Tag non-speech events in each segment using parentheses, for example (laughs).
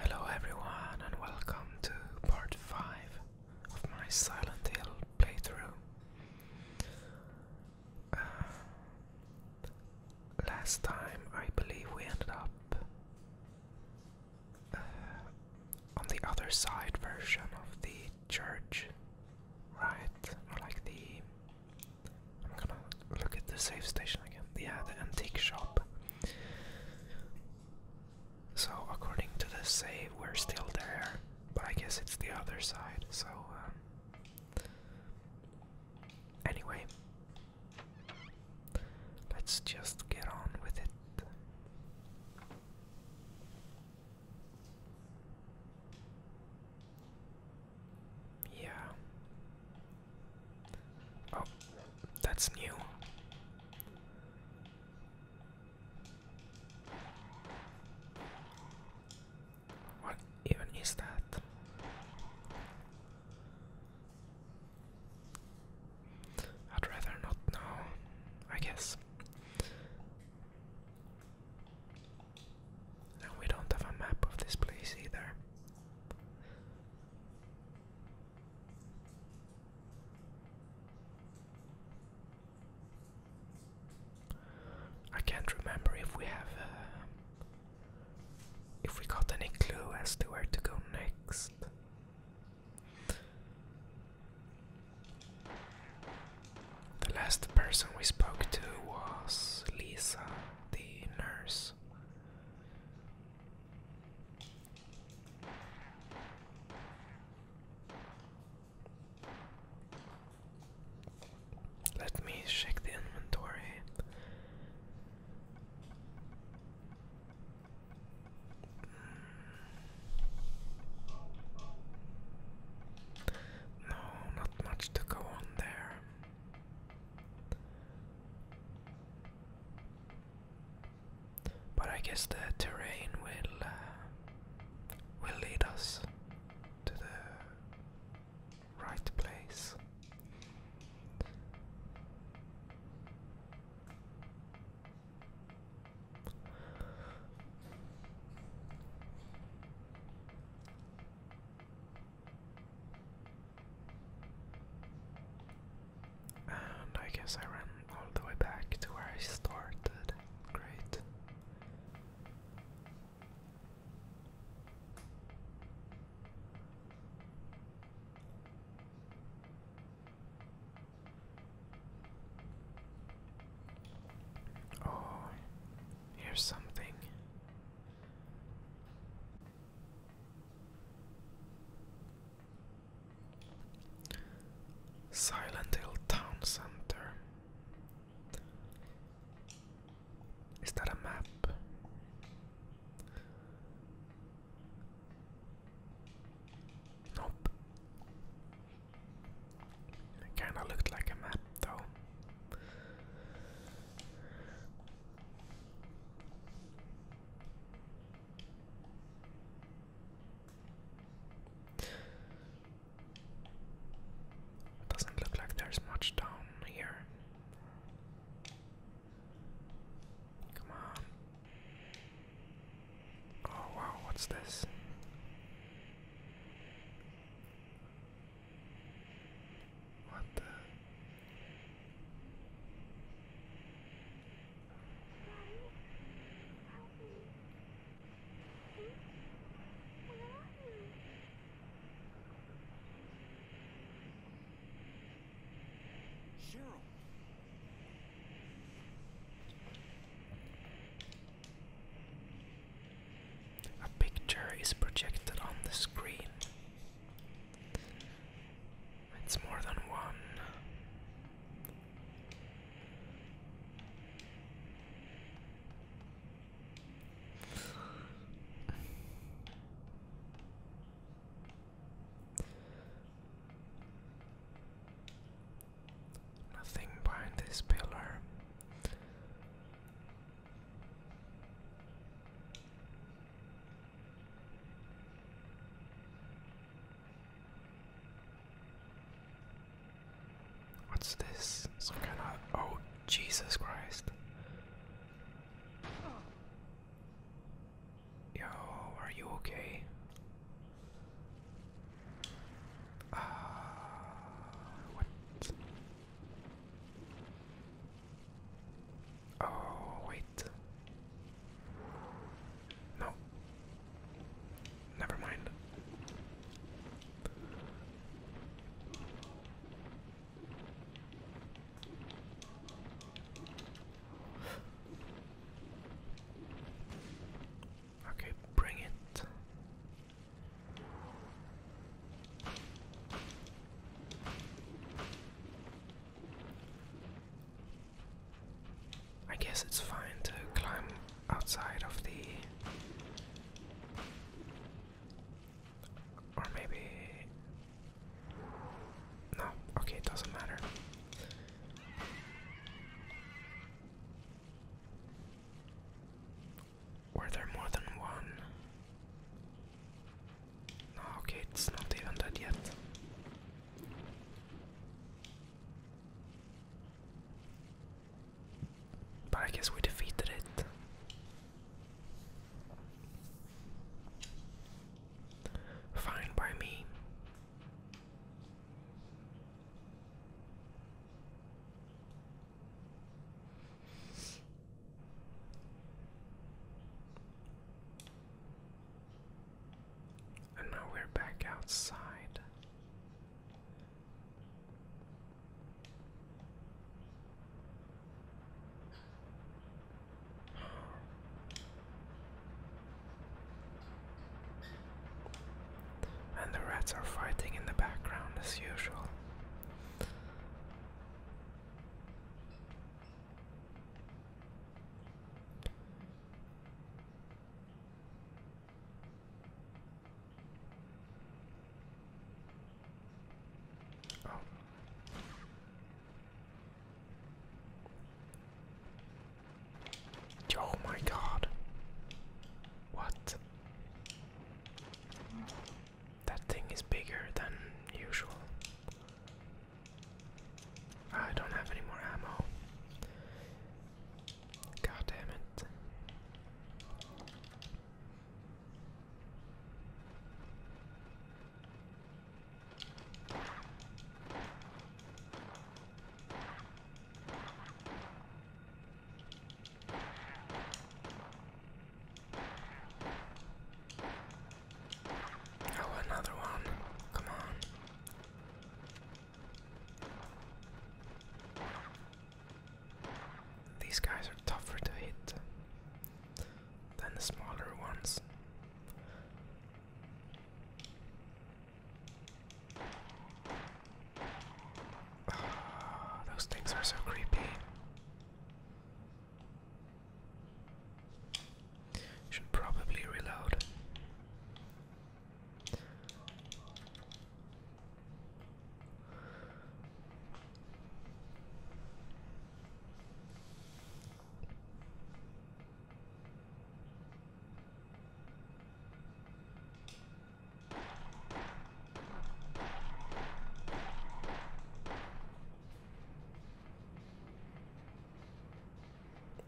Hello, everyone, and welcome to part 5 of my Silent Hill playthrough last time, I believe we ended up uh, on the other side version of the church, right? like the. I'm gonna look at the save station again. Yeah, the antique shop. So, according to the save, we're still there. But I guess it's the other side, so, um, Anyway. Let's just get on with it. Yeah. Oh, that's new. What even is that? I'd rather not know, I guess. And we don't have a map of this place either. I can't remember if we have uh, if we got any clue as to where to go next. The last person we spoke to was Lisa, the nurse. Let me check the inventory. Mm. No, not much to go on there. But I guess the terrain will uh, will lead us to the right place. And I guess I ran all the way back to where I started. Great. Oh, here's something. Silent Hill Town Center. Is that a map? Nope. It kinda looked like a map though. It doesn't look like there's much down here. Come on. Oh wow, what's this? What the? Cheryl. A picture is projected on the screen. It's more than one. Nothing behind this pillar. What's this? Some kind of. Oh, Jesus Christ. Yo, are you okay? Uh, what? Oh, wait. No. Never mind. Okay, bring it. I guess it's fine to climb outside of the or maybe. No, okay, it doesn't matter. Were there more than one? No, okay, it's not even dead yet. But I guess we defeated it. Fine by me. And now we're back outside. And the rats are fighting in the background as usual. Oh. my god. What? That thing is bigger than usual. I don't have any more ammo. God Oh, another one. Come on. These guys are tougher to hit than the smaller ones. Ah, those things are so creepy. Should probably reload.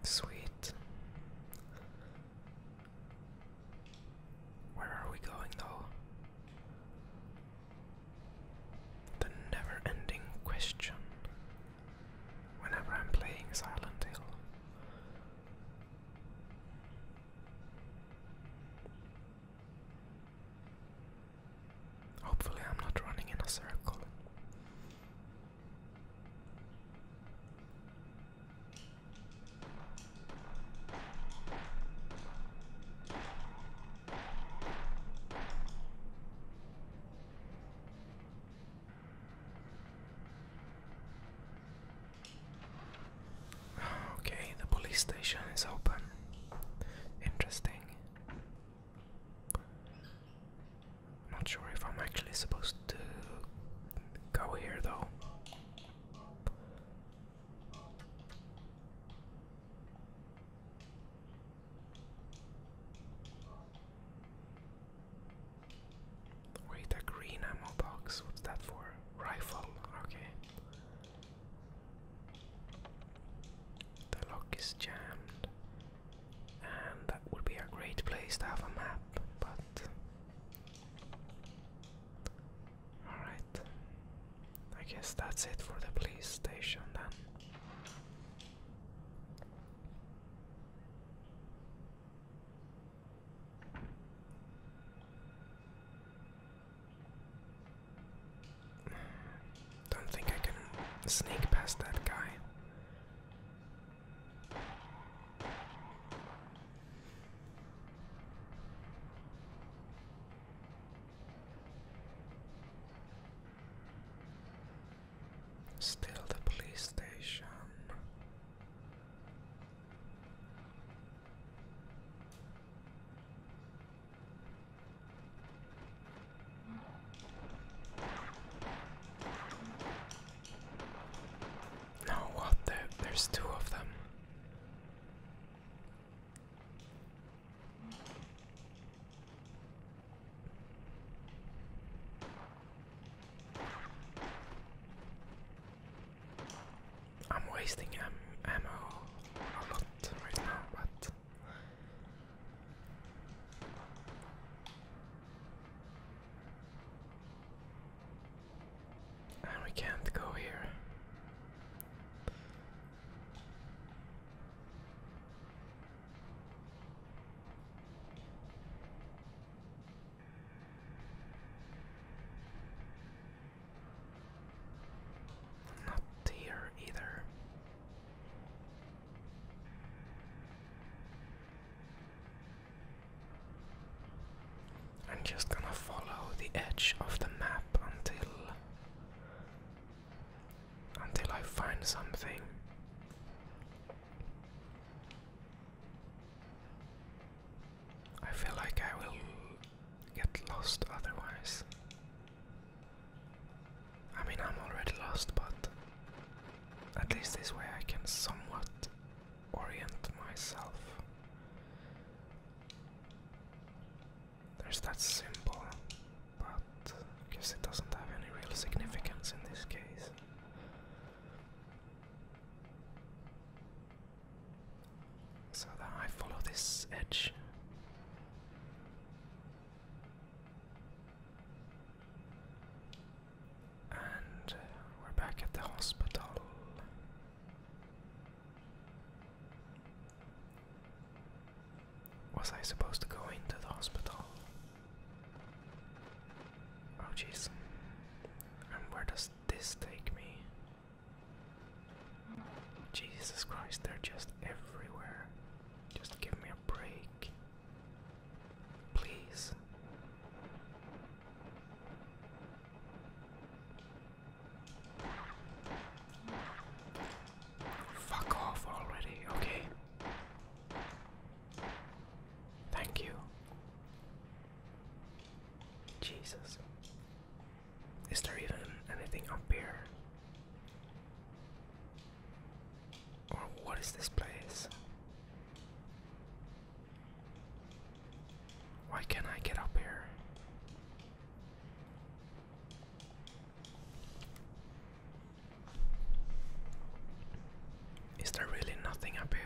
Sweet. Where are we going though? The never ending question whenever I'm playing Silent Hill. Hopefully, I'm not running in a circle. Okay, the police station is open. Interesting. not sure if I'm actually supposed to go here though. Wait, a green ammo box. What's that for? Rifle. Okay. The lock is jammed. And that would be a great place to have a map, but Alright. I guess that's it for the police station then. Don't think I can sneak past that guy. Still the police station. No, what? There, there's two of them. I'm wasting am ammo a lot right now, but we can't go here. Not here either. I'm just gonna follow the edge of the map until until I find something. I feel like I will get lost otherwise. I mean, I'm already lost, but at least this way I can somewhat orient myself. There's that symbol, but I guess it doesn't have any real significance in this case. So that I follow this edge. And uh, we're back at the hospital. Was I supposed to go into the hospital? Oh, jeez. And where does this take me? Jesus Christ, they're just everywhere. Just give me a break. Please. Fuck off already, okay. Thank you. Jesus. Is there even anything up here? Or what is this place? Why can't I get up here? Is there really nothing up here?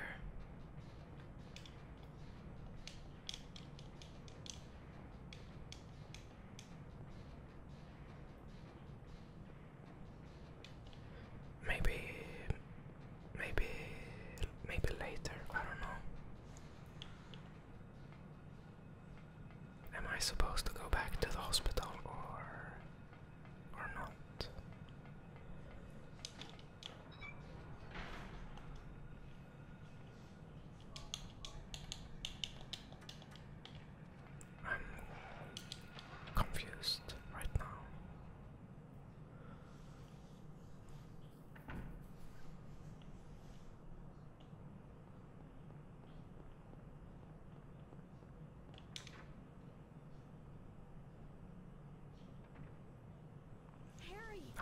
Maybe, maybe, maybe later. I don't know. Am I supposed to go back to the hospital or or not? I'm confused right now.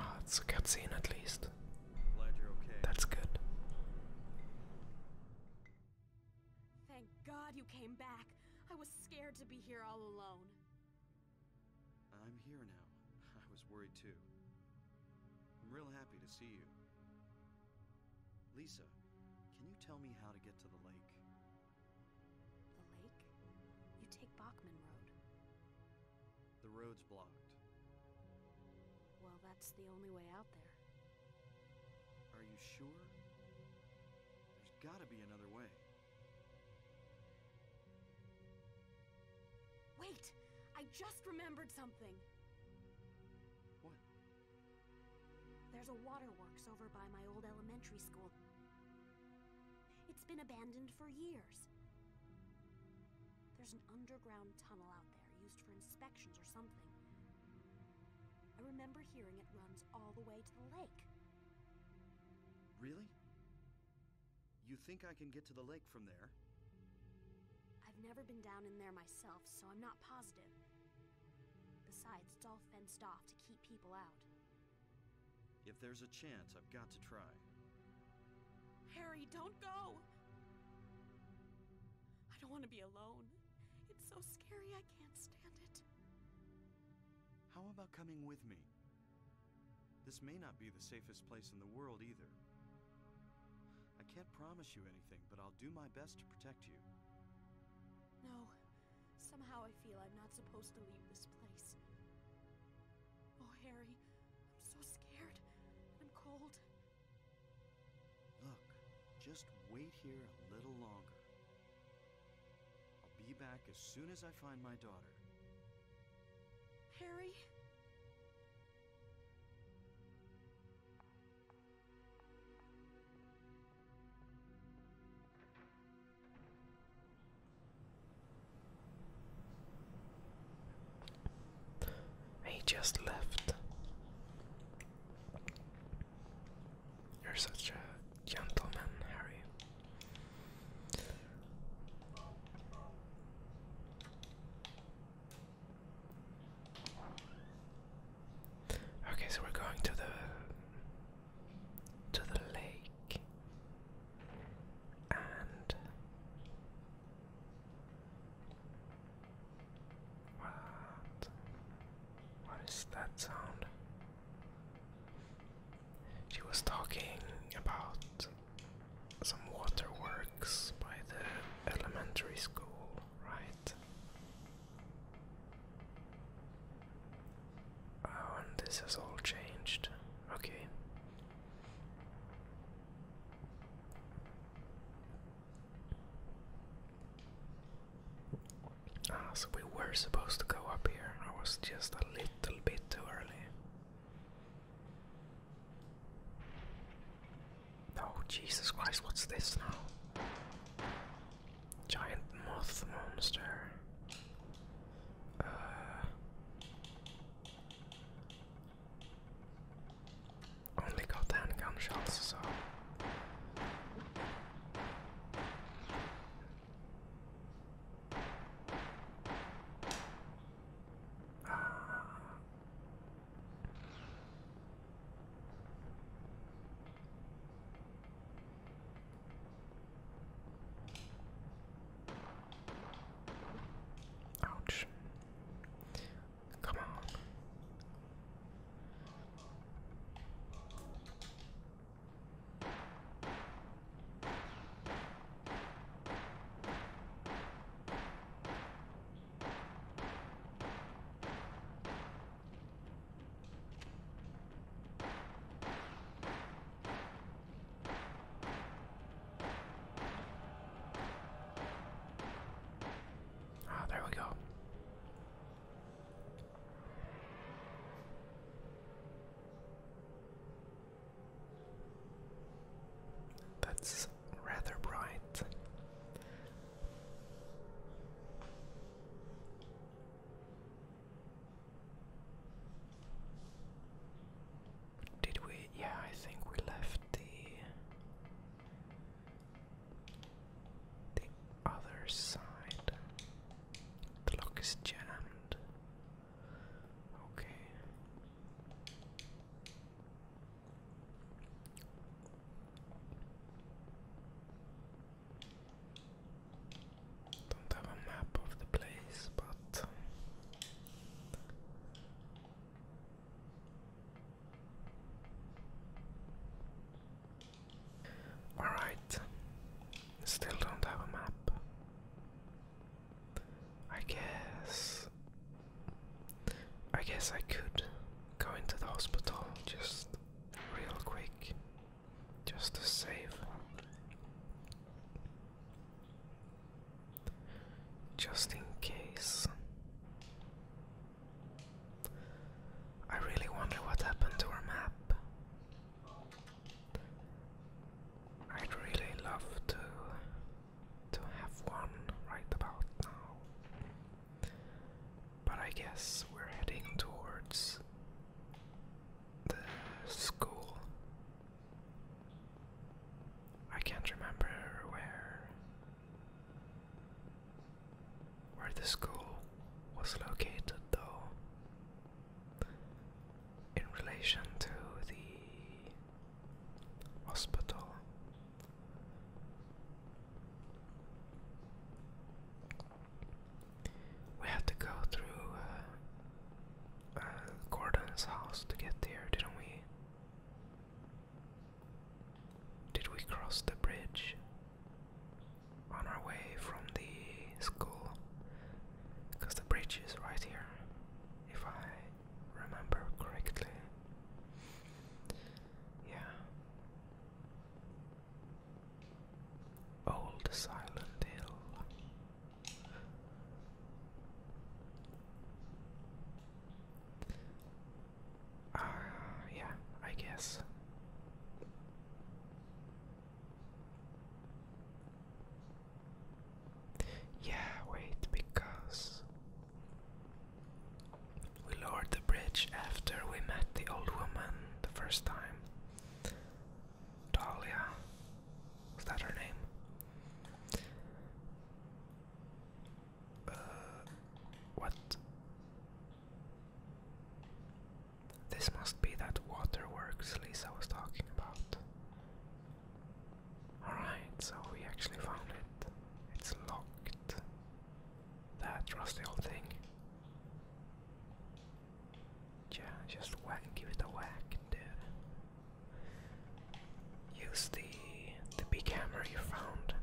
Ah, it's a good scene at least. That's good. Thank God you came back. I was scared to be here all alone. I'm here now. (laughs) I was worried too. I'm real happy to see you. Lisa, can you tell me how to get to the lake? The lake? You take Bachman Road. The road's blocked. Well, that's the only way out there. Are you sure? There's gotta be another way. Wait! I just remembered something! What? There's a waterworks over by my old elementary school. It's been abandoned for years. There's an underground tunnel out there used for inspections or something. I remember hearing it runs all the way to the lake. Really? You think I can get to the lake from there? I've never been down in there myself, so I'm not positive. Besides, it's all fenced off to keep people out. If there's a chance, I've got to try. Harry, don't go! I don't want to be alone. It's so scary, I can't stand it. How about coming with me? This may not be the safest place in the world either. I can't promise you anything, but I'll do my best to protect you. No. Somehow I feel I'm not supposed to leave this place. Oh, Harry, I'm so scared. I'm cold. Look, just wait here a little longer. I'll be back as soon as I find my daughter. Harry? He just left. You're such a gentleman, Harry. Okay, so we're going to the to the lake and what what is that sound? She was talking about some waterworks by the elementary school, right? Oh, and this has all changed. Okay. Ah, so we were supposed to go up here. I was just a little bit too early. Oh, Jesus Christ, what's this now? Giant moth monster. Uh. Only got handgun gunshots. so. Uh, Ouch. Come on. Ah, there we go. That's rather bright. Did we? Yeah, I think we left the the other side. The lock is jammed. Okay. Don't have a map of the place, but um, all right. Still don't have a map. I guess I guess I could go into the hospital just real quick, just to save. Just in case. I really wonder what happened to our map. I'd really love to to have one right about now. But I guess we're heading towards the school. I can't remember where where the school was located though in relation to the hospital we had to go through uh, uh, Gordon's house to get there, didn't we? Did we cross the bridge on our way from the school? Because the bridge is right here, if I remember correctly. Yeah. Old Silent Hill. Uh, yeah, I guess. Yeah, wait, because we lowered the bridge after we met the old woman the first time. Dahlia. Was that her name? Uh, what? This must be that waterworks Lisa was talking about. Alright, so we actually found it. It's locked that rusty old thing. Yeah, just whack, give it a whack, dude. Use the the big hammer you found.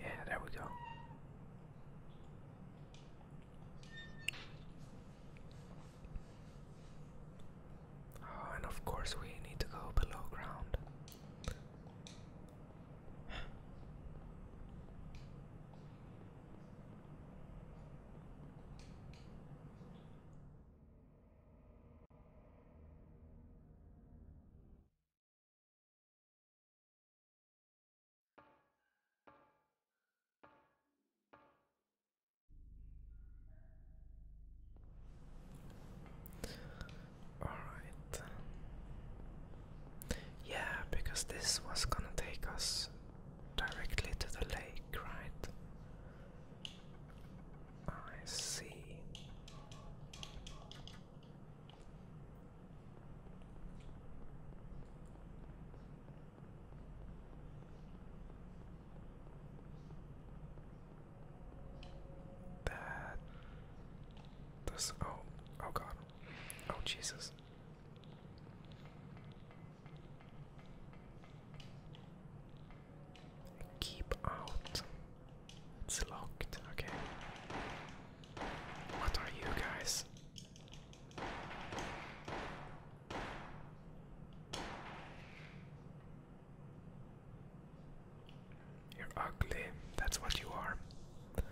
Yeah, there we go. Oh, and of course, we need to go below ground. Alright. Yeah, because this was gonna take us directly to the lake, right? I see. That this oh oh god. Oh Jesus. Keep out. It's locked. Okay. What are you guys? You're ugly, that's what you are. I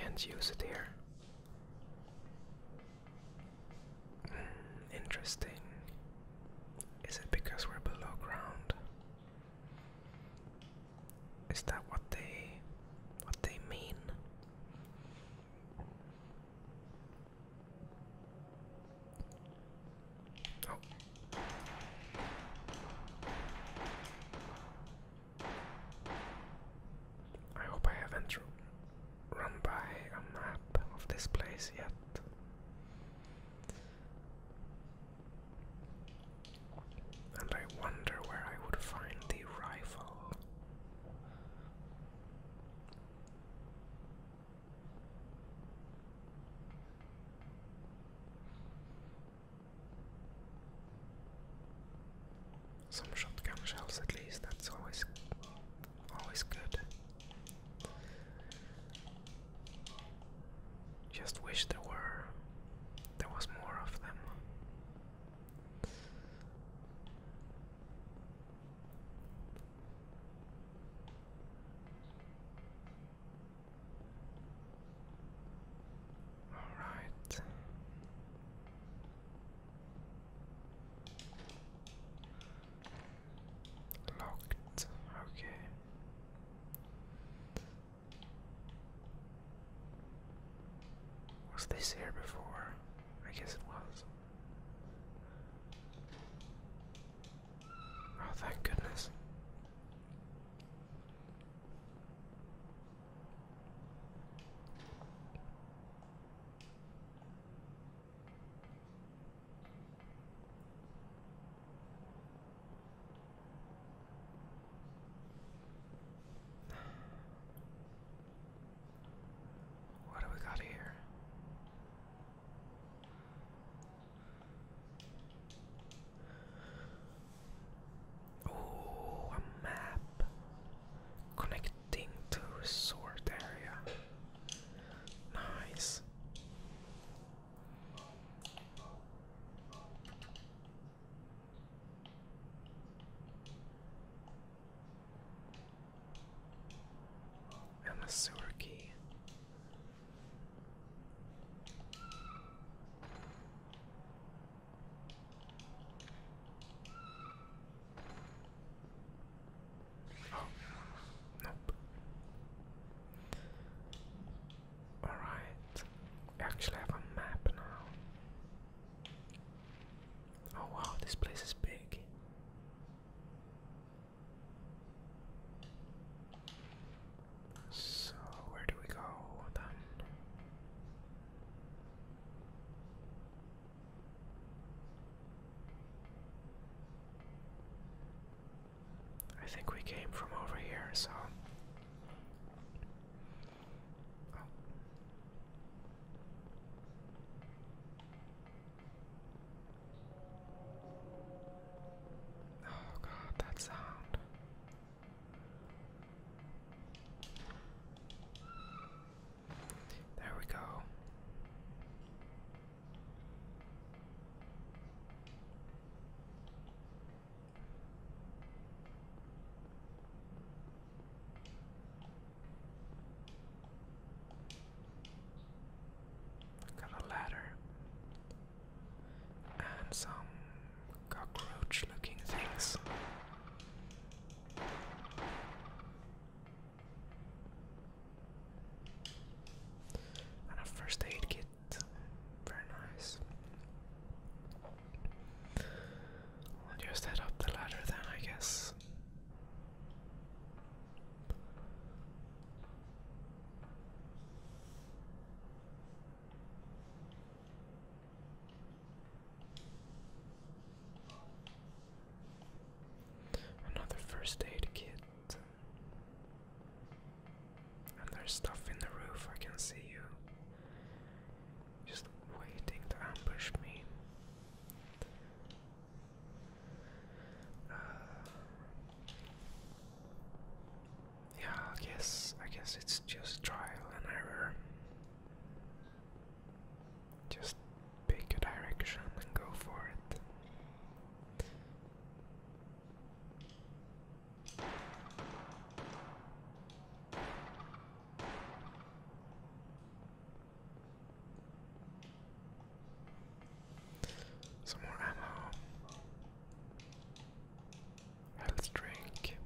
can't use it here. Hmm, interesting. Is it because we're below ground? Is that what they what they mean? Oh. I hope I haven't run by a map of this place yet. And I wonder where I would find the rifle. Some shotgun shells, at least. That's always, always good. Just wish there were there was more of them. All right. Locked. Okay. Was this here before? I guess it was. Oh, thank goodness. What do we got here? Oh, a map connecting to resort area. Nice. And the sewer key. Oh, nope. Alright. We actually have a map now. Oh wow, this place is big. So, where do we go then? I think we came from over here, so Oh. god, that sound. There we go. Got a ladder and some cockroach looking things. And a first aid kit. Very nice. I'll up the ladder then, I guess. Another first aid kit. And there's stuff in the roof, I can see you. Just waiting to ambush me. Uh, yeah, I guess I guess it's just trial and error. Just pick a direction and go for it. Some more ammo. Health drink.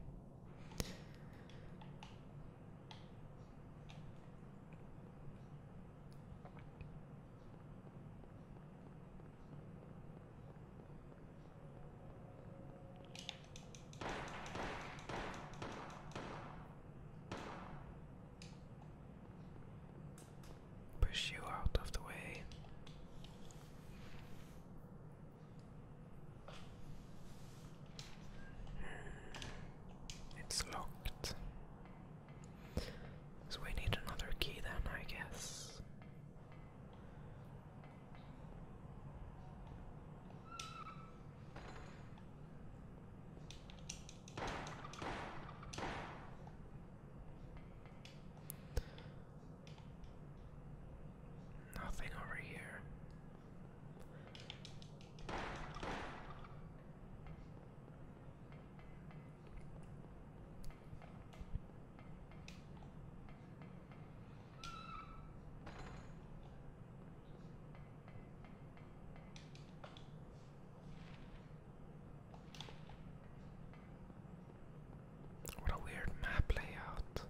Push you out of the way. Hmm, it's locked. So we need another key then, I guess. Nothing over here. What a weird map layout.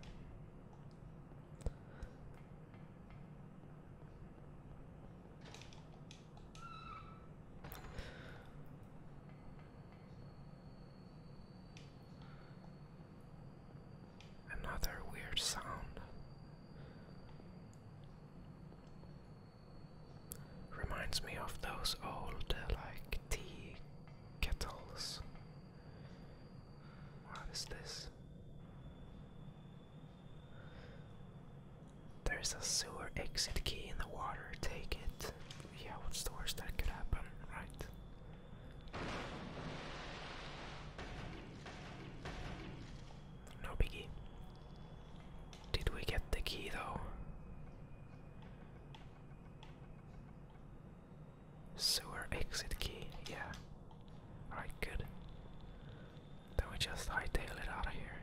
Another weird sound. Reminds me of those old, uh, like, tea kettles. What is this? There's a sewer exit key in the water, take it. Yeah, what's the worst that could happen, right? No biggie. Did we get the key though? Sewer exit key, yeah. Alright, good. Then we just hightail it out of here.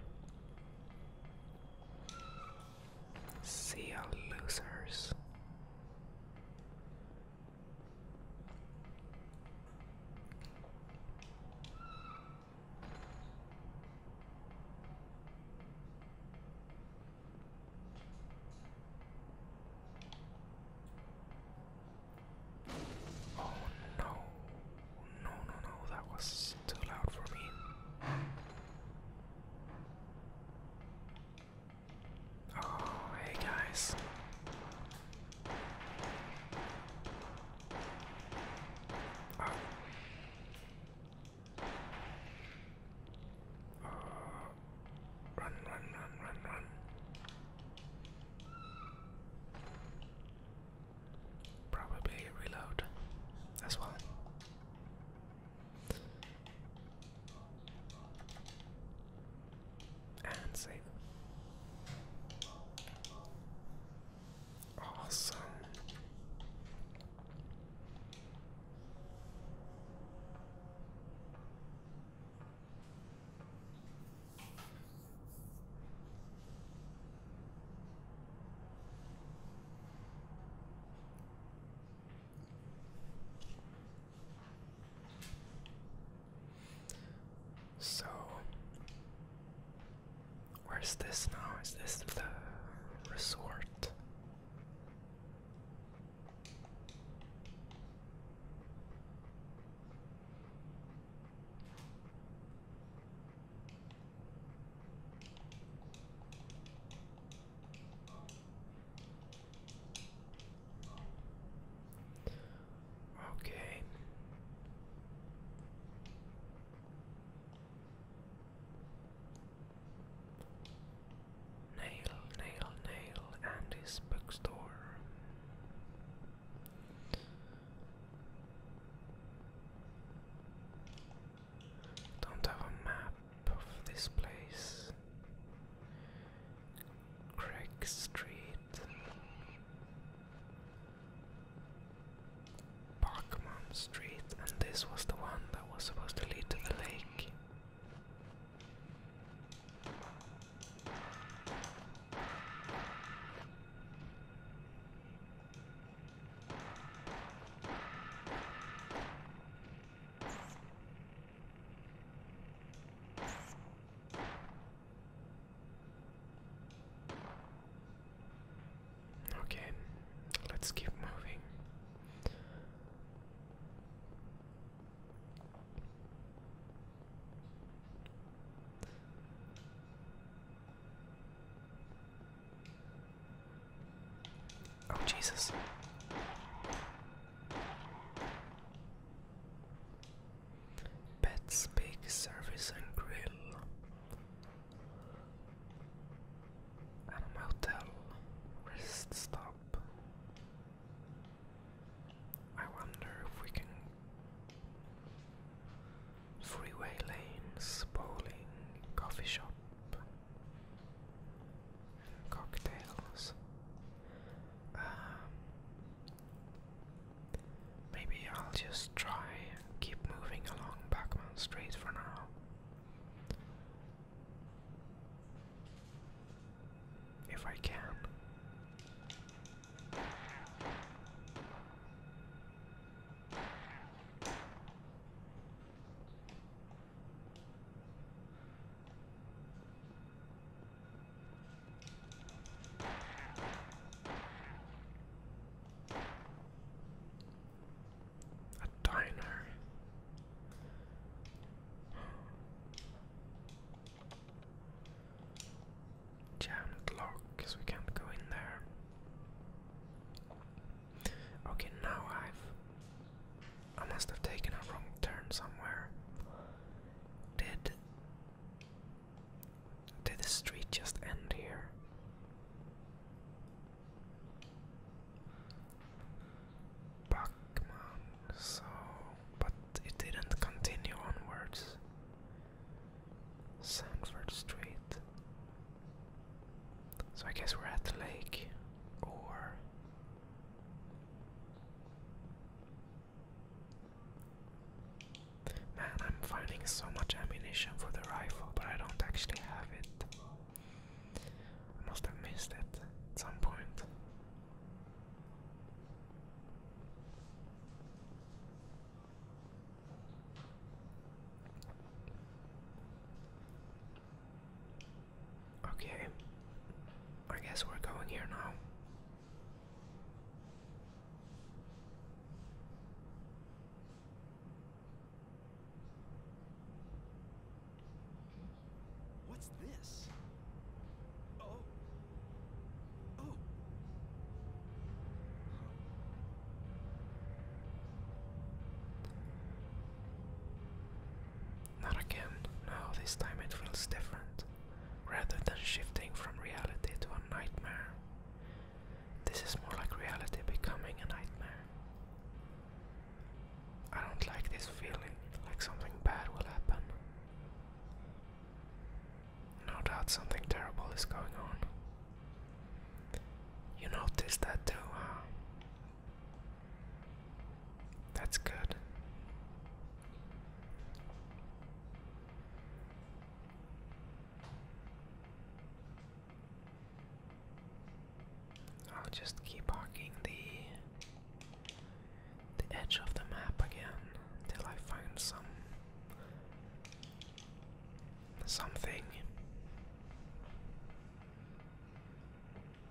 See you, losers. Oh no, no, no, no, that was too loud for me. Oh, hey guys. Oh. Run, run, run, run, run. Probably reload as well. And save. Awesome. So, where's this now? Is this the resort? Okay. Nail, nail, nail, and his bookstore. Don't have a map of this place. Craig Street. Pokemon Street, and this was the one that was supposed to lead to the lake. Okay, let's keep moving. Oh, Jesus. Pets Big Service and Grill. And Motel Rest Stop. I wonder if we can. Freeway lanes, bowling, coffee shop cocktails. Um, maybe I'll just try keep moving along Backman Street for now. If I can. A diner. Jammed lock, because we can't go in there. Okay, now I've I must have taken a wrong turn somewhere. Did did the street just end here? Buckman, so but it didn't continue onwards. Sanford Street. So I guess we're at the lake or Man, I'm finding so much ammunition for the rifle, but I don't actually have it. I must have missed it at some point. Okay. I guess we're going here now. What's this? Oh. Oh. Not again. No, this time it feels different. Rather than shifting from reality to a nightmare, this is more like reality becoming a nightmare. I don't like this feeling, like something bad will happen. No doubt something terrible is going on. You noticed that too, huh? That's good. I'll just keep hogging the the edge of the map again till I find some something.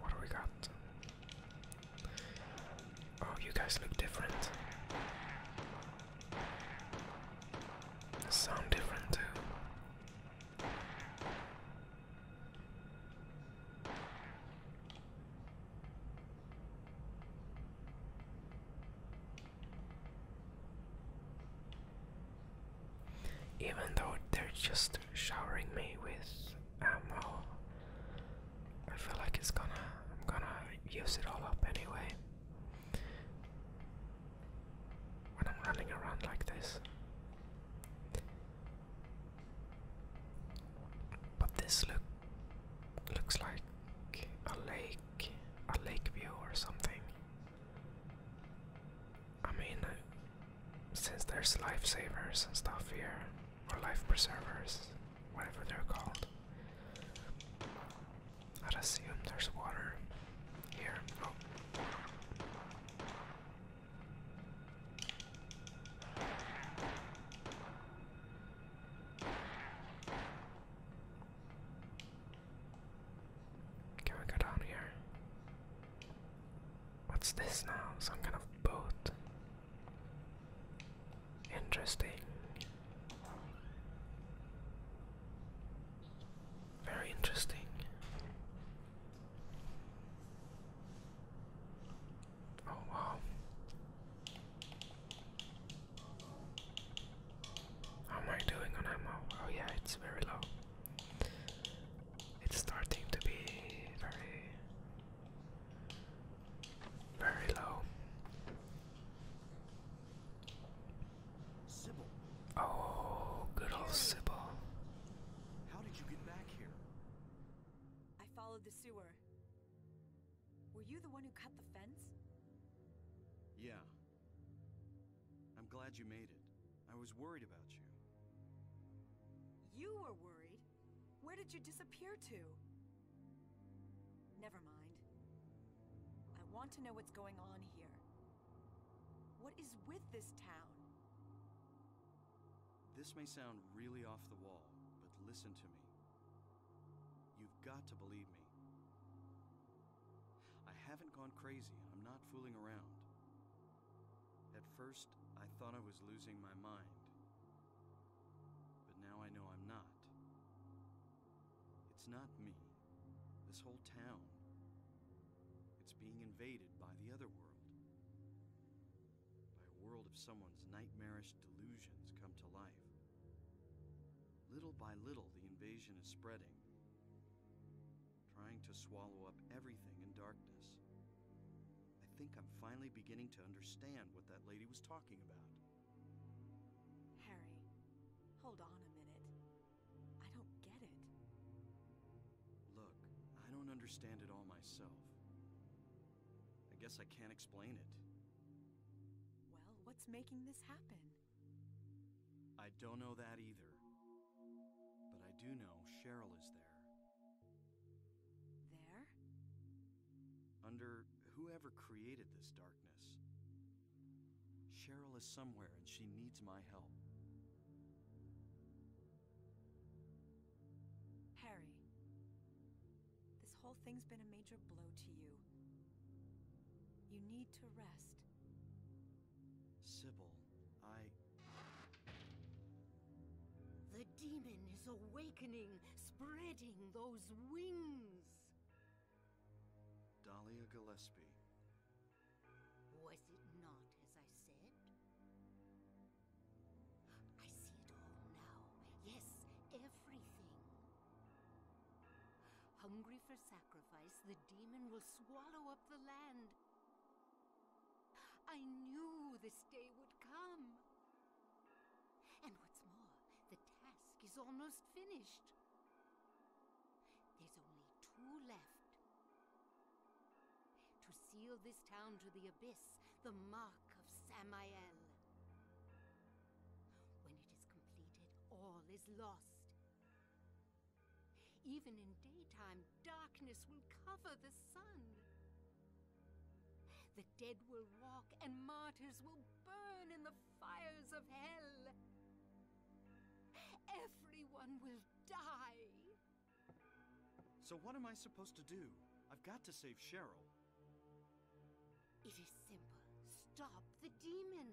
What do we got? Oh, you guys look different. Sound different too. Even though they're just showering me with ammo, I feel like it's gonna, I'm gonna use it all up anyway. When I'm running around like this. But this look looks like a lake, a lake view or something. I mean, since there's lifesavers and stuff here, or life preservers, whatever they're called, I'd assume there's water here. Oh. Can we go down here? What's this now? Some kind of boat. Interesting. Very interesting. Oh wow. How am I doing on ammo? Oh yeah, it's very low. It's starting to be very, very low. Oh, good old Sybil. How did you get back here? I followed the sewer. Were you the one who cut the fence? Yeah. I'm glad you made it. I was worried about you. You were worried? Where did you disappear to? Never mind. I want to know what's going on here. What is with this town? This may sound really off the wall, but listen to me. You've got to believe me. I haven't gone crazy, and I'm not fooling around. At first, I thought I was losing my mind. But now I know I'm not. It's not me. This whole town. It's being invaded by the other world. By a world of someone's nightmarish delusions come to life. Little by little, the invasion is spreading trying to swallow up everything in darkness. I think I'm finally beginning to understand what that lady was talking about. Harry, hold on a minute. I don't get it. Look, I don't understand it all myself. I guess I can't explain it. Well, what's making this happen? I don't know that either. But I do know Cheryl is there. There? Under whoever created this darkness. Cheryl is somewhere and she needs my help. Harry, this whole thing's been a major blow to you. You need to rest. Sybil, I... The demon is awakening, spreading those wings. Dahlia Gillespie. Was it not as I said? I see it all now. Yes, everything. Hungry for sacrifice, the demon will swallow up the land I knew this day would come. And what's more, the task is almost finished. There's only two left. To seal this town to the abyss, the mark of Samael. When it is completed, all is lost. Even in daytime, darkness will cover the sun. The dead will walk and martyrs will burn in the fires of hell. Everyone will die. So what am I supposed to do? I've got to save Cheryl. It is simple. Stop the demon.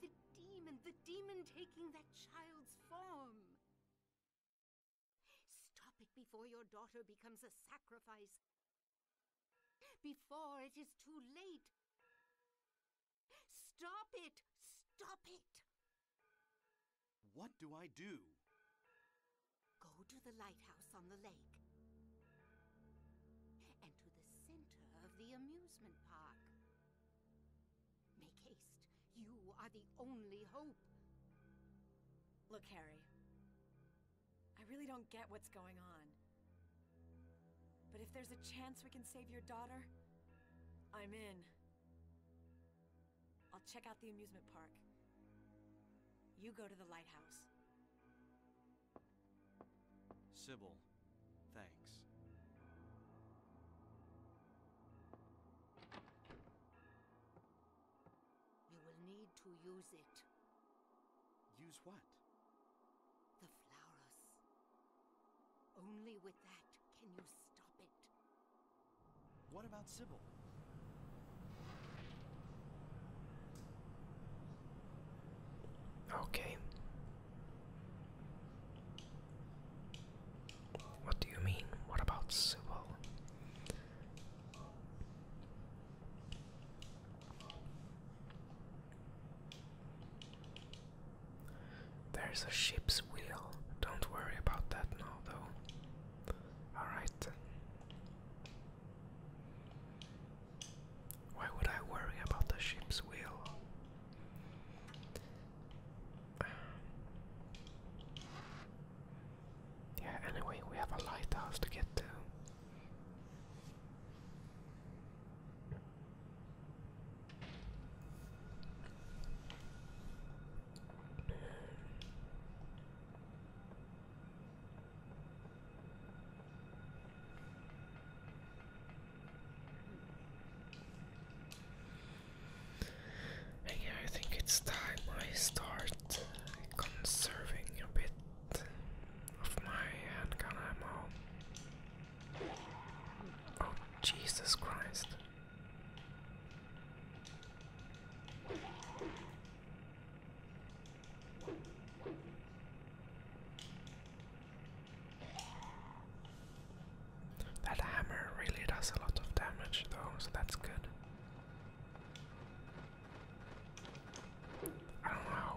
The demon, the demon taking that child's Stop it before your daughter becomes a sacrifice. Before it is too late. Stop it! Stop it! What do I do? Go to the lighthouse on the lake. And to the center of the amusement park. Make haste. You are the only hope. Look, Harry. I really don't get what's going on. But if there's a chance we can save your daughter, I'm in. I'll check out the amusement park. You go to the lighthouse. Sybil. Thanks. You will need to use it. Use what? The flowers. Only with that can you stop it. What about Sybil? Okay. What do you mean? What about Subo? There's a ship's wheel. Don't worry about that now, though. Alright. Why would I worry about the ship's wheel? Yeah, anyway, we have a lighthouse to get to. And I think it's time I start conserving a bit of my handgun Oh, Jesus Christ. That hammer really does a lot of damage though, so that's good. I don't know how,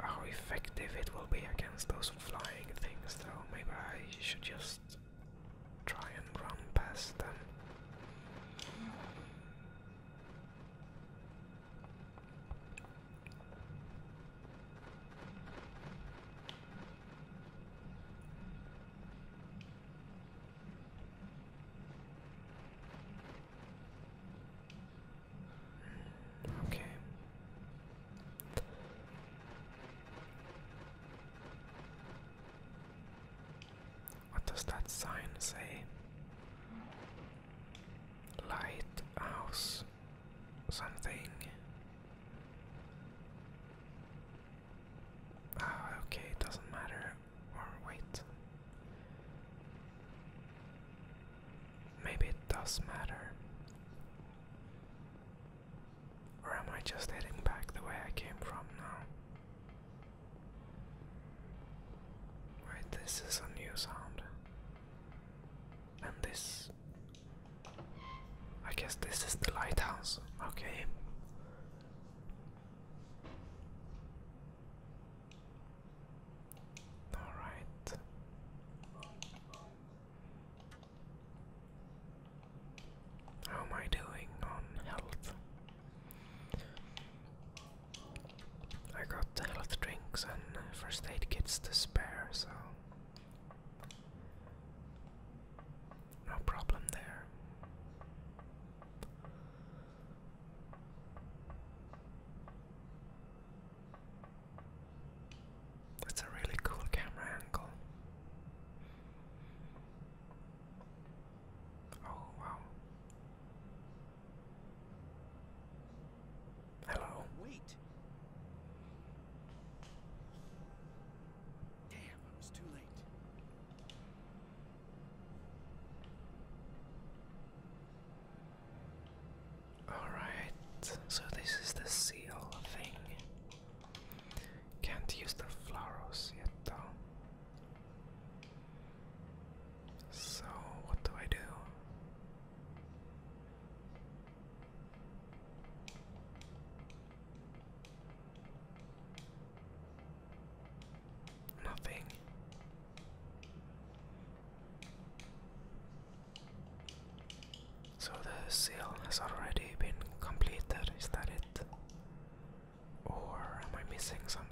how effective it will be against those flying things though. Maybe I should just try and run past them. Okay. What does that sign say? Lighthouse something. Ah, okay, it doesn't matter. Or wait. Maybe it does matter. Or am I just heading back the way I came from now? Right, this is a new sound. And this I guess this is the lighthouse. Okay. Alright. How am I doing on health? I got health drinks and first aid kits to spare, so no problem there. It's a really cool camera angle. Oh, wow. Hello. Wait. Damn, I too late. Alright, so this is the seal thing. Can't use the flowers yet though. So, what do I do? Nothing. So the seal has already been completed, is that it? Or am I missing something?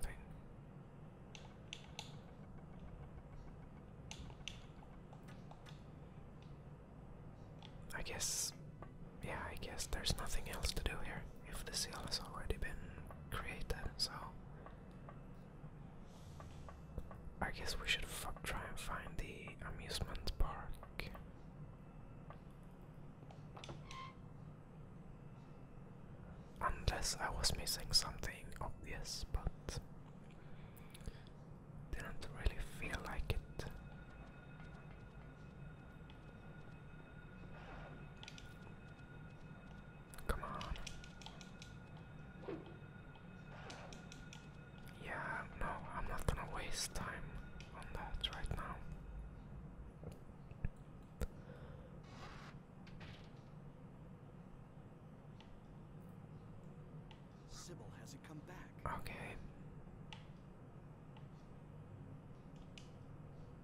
I guess, yeah, I guess there's nothing else to do here if the seal has already been created, so. I guess we should try and find the amusement park. Unless I was missing something obvious, but didn't really feel like it. Come on. Yeah, no, I'm not gonna waste time on that right now. Sybil hasn't come back. Okay.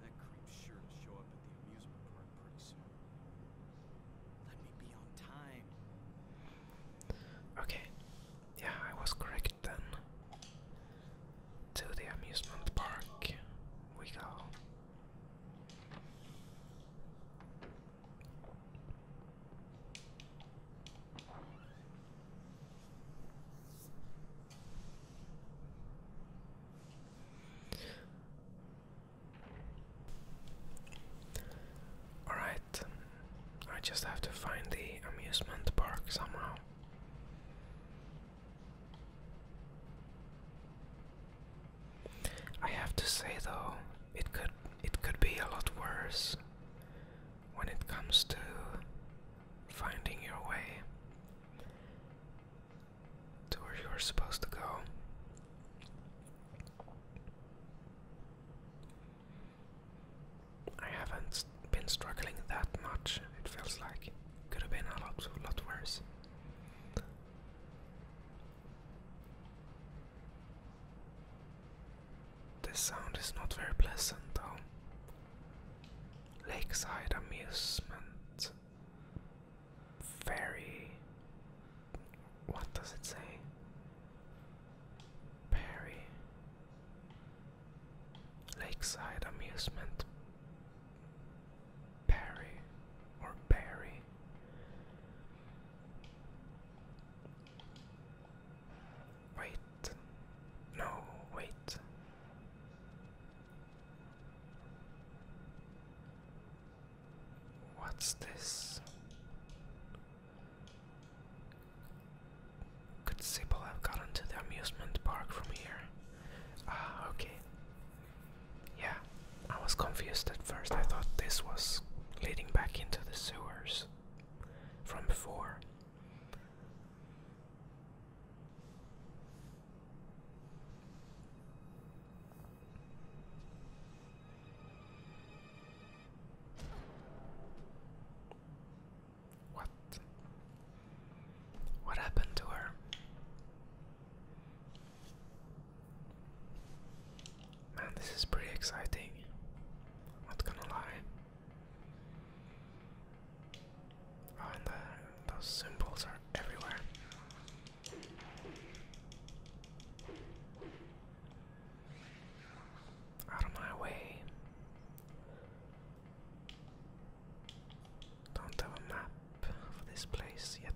That creep's sure to show up at the amusement park pretty soon. Let me be on time. Okay. Yeah, I was correct then. To the amusement park we go. Alright, I just have to find the amusement park somehow. I have to say though, it could it could be a lot worse when it comes to finding your way to where you are supposed to go. I haven't been struggling that much, it feels like. Could have been a lot, a lot worse. This sound is not very pleasant though. Lakeside amusement. Ferry. What does it say? Perry. Lakeside amusement. Perry or Barry. Wait. No, wait. What's this? Could Sybil have gotten to the amusement park from here? Ah, okay. Yeah, I was confused at first. I thought this was leading back into the sewers from before. What? What happened to her? Man, this is pretty exciting. not gonna lie. Oh, and the, those symbols are everywhere. Out of my way. Don't have a map for this place yet.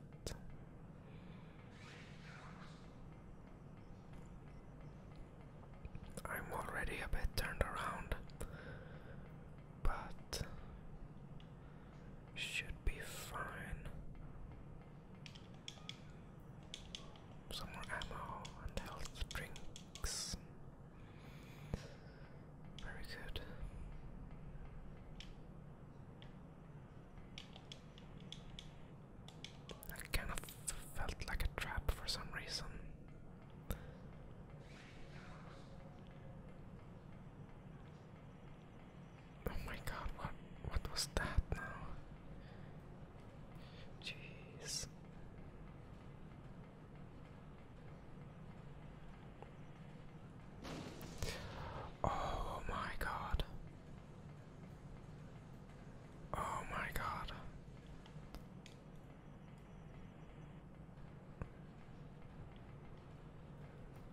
I'm already a bit turned around, but should be fine. Some more ammo and health drinks. Very good. That kind of felt like a trap for some reason. Oh my god, what what was that now? Jeez. Oh my god. Oh my god.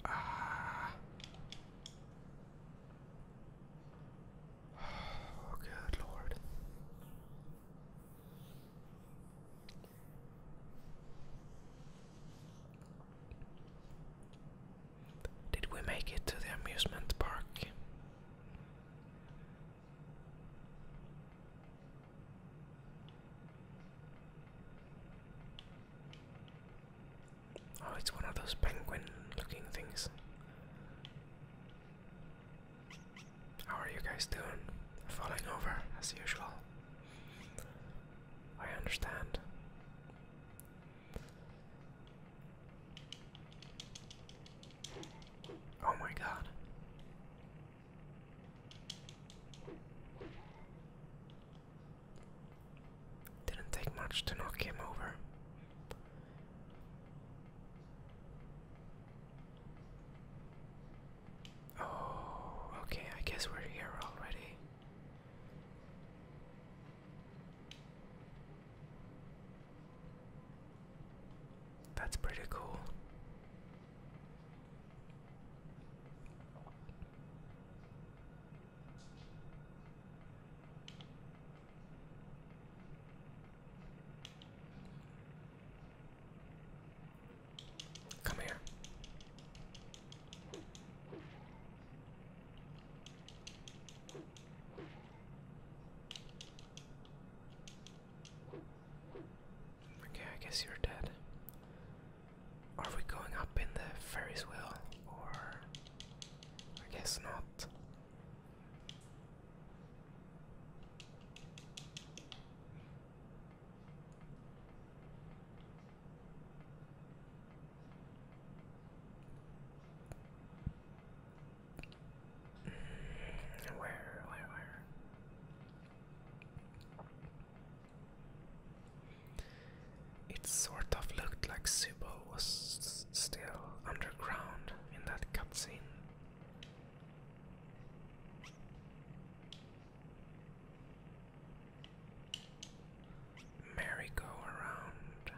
Ah. (sighs) Oh, good Lord. Did we make it to the amusement park? Oh, it's one of those penguin looking things. How are you guys doing? Falling over as usual. I understand. Oh my god. Didn't take much to knock him over. Oh, okay, I guess we're here already. That's pretty cool. Come here. Okay, I guess you're dead. Are we going up in the Ferris wheel? Or. I guess not. Mm, where, where, where? It sort of looked like Sybil was still underground in that cutscene. Merry-go-around.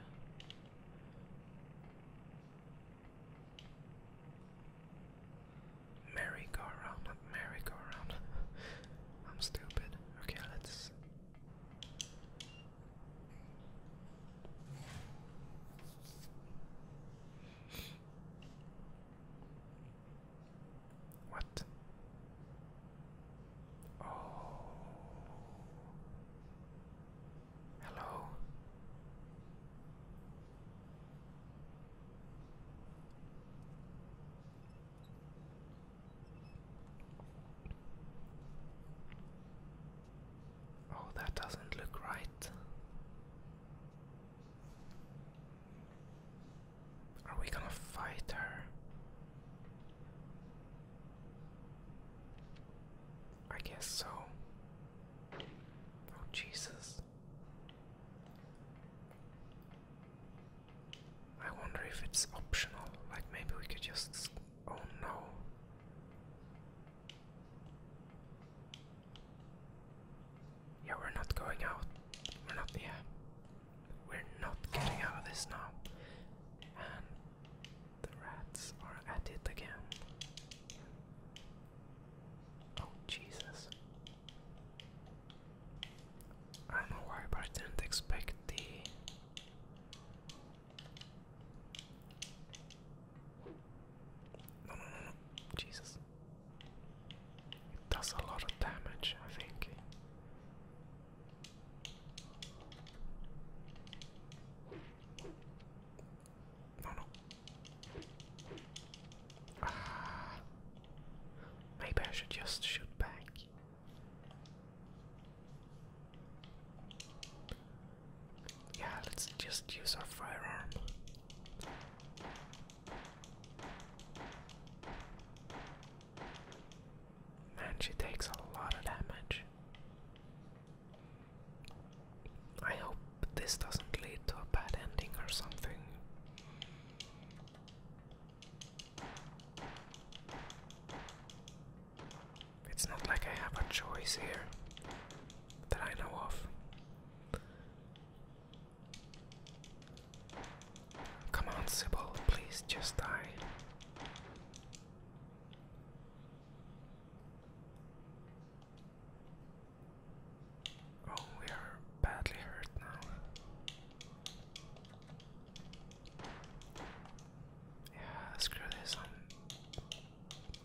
Merry-go-round, not merry-go-round. (laughs) I'm stupid. Okay, let's. What? Oh. Hello. Oh, that doesn't look right. Are we gonna fight her? I guess so. Oh, Jesus. I wonder if it's optional, like maybe we could just. Oh no. Yeah, we're not going out. We're not, yeah. We're not getting out of this now. And the rats are at it again. Oh, Jesus. I don't know why, but I didn't expect the no, no, no, no, Jesus. It does a lot of damage, I think. No, no. (sighs) maybe I should just shoot back. Yeah, let's just use our firearm. Man, she takes a lot of damage. I hope this doesn't lead to a bad ending or something. It's not like I have a choice here that I know of. Come on, Sybil, please just die. Oh, we are badly hurt now. Yeah, screw this. I'm,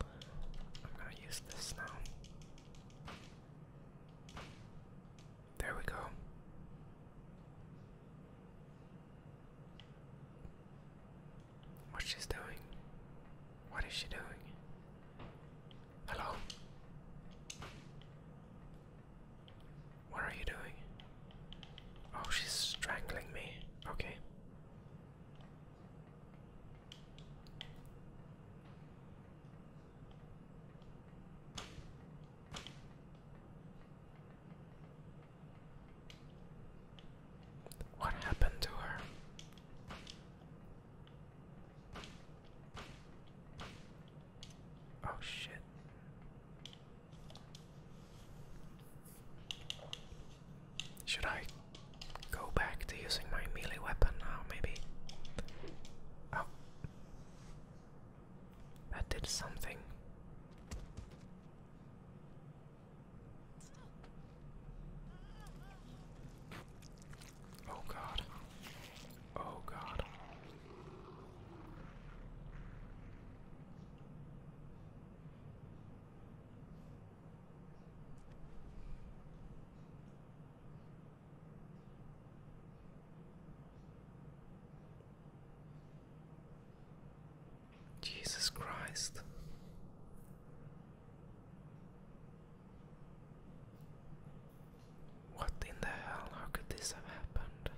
I'm gonna use this now. There we go. What she's doing? What is she doing? Hello? What are you doing? Oh, she's strangling me. Okay. What happened to her? Oh shit. Should I go back to using my melee weapon now, maybe? Oh. That did something. Oh god. Oh god. Jesus Christ. What in the hell? How could this have happened?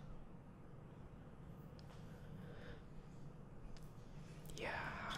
Yeah, I.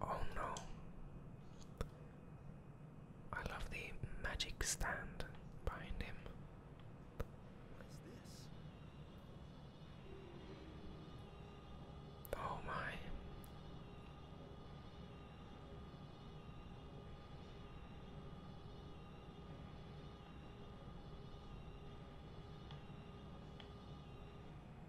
Oh no. I love the magic stand behind him. What is this? Oh my.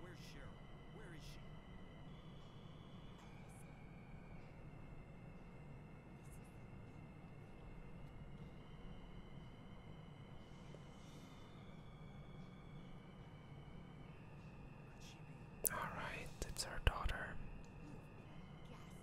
Where's Cheryl? Where is she? All right, it's her daughter.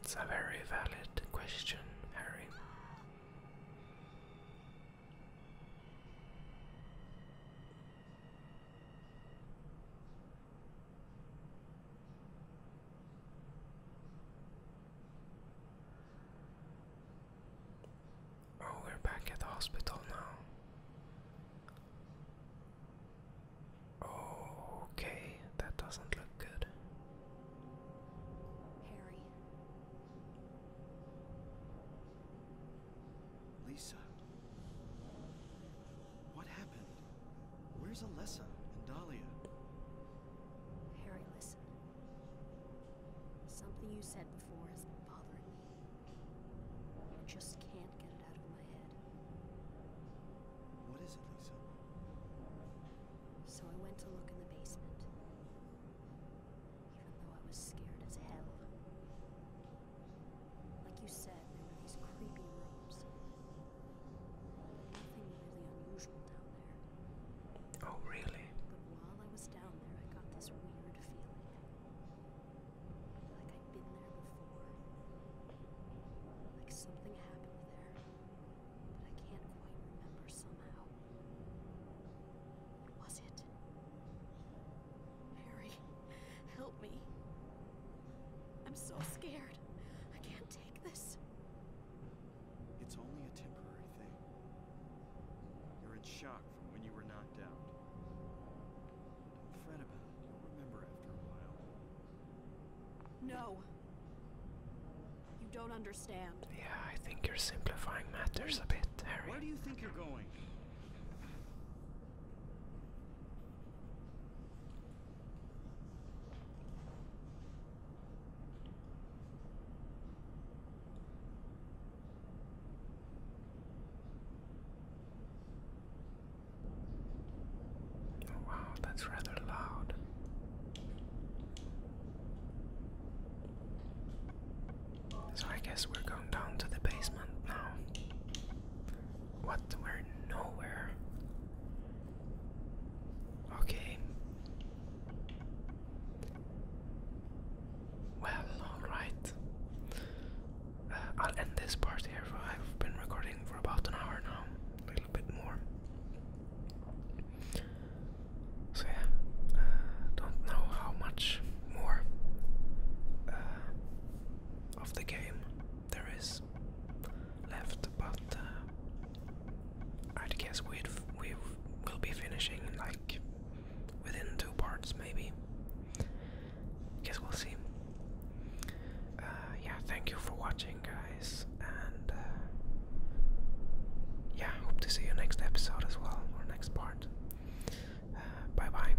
That's a very valid question, Harry. Oh, we're back at the hospital now. okay, that doesn't look good. Harry. Lisa. What happened? Where's Alessa and Dahlia? Harry, listen. Something you said before has been bothering me. I just can't get it out of my head. What is it, Lisa? So I went to look in the basement. Even though I was scared as hell. Like you said, there were these creepy rooms. Nothing really unusual. Oh, really? But while I was down there, I got this weird feeling. Like I'd been there before. Like something happened there. But I can't quite remember somehow. What was it? Harry, help me. I'm so scared. I can't take this. It's only a temporary thing. You're in shock from when you were knocked out. Don't fret about it. You'll remember after a while. No. You don't understand. Yeah, I think you're simplifying matters a bit, Harry. Where do you think you're going? Oh, wow, that's rather loud. So I guess we're going down to the basement now. What? We're nowhere. Okay, well, alright. Uh, I'll end this part here. I've been recording for about an hour now, a little bit more. So, yeah, uh, don't know how much more uh, of the game there is left, but I'd guess we'd we will be finishing like within two parts, maybe. I Guess we'll see. Uh, yeah, thank you for watching, guys, and uh, yeah, hope to see you next episode as well or next part. Uh, bye bye.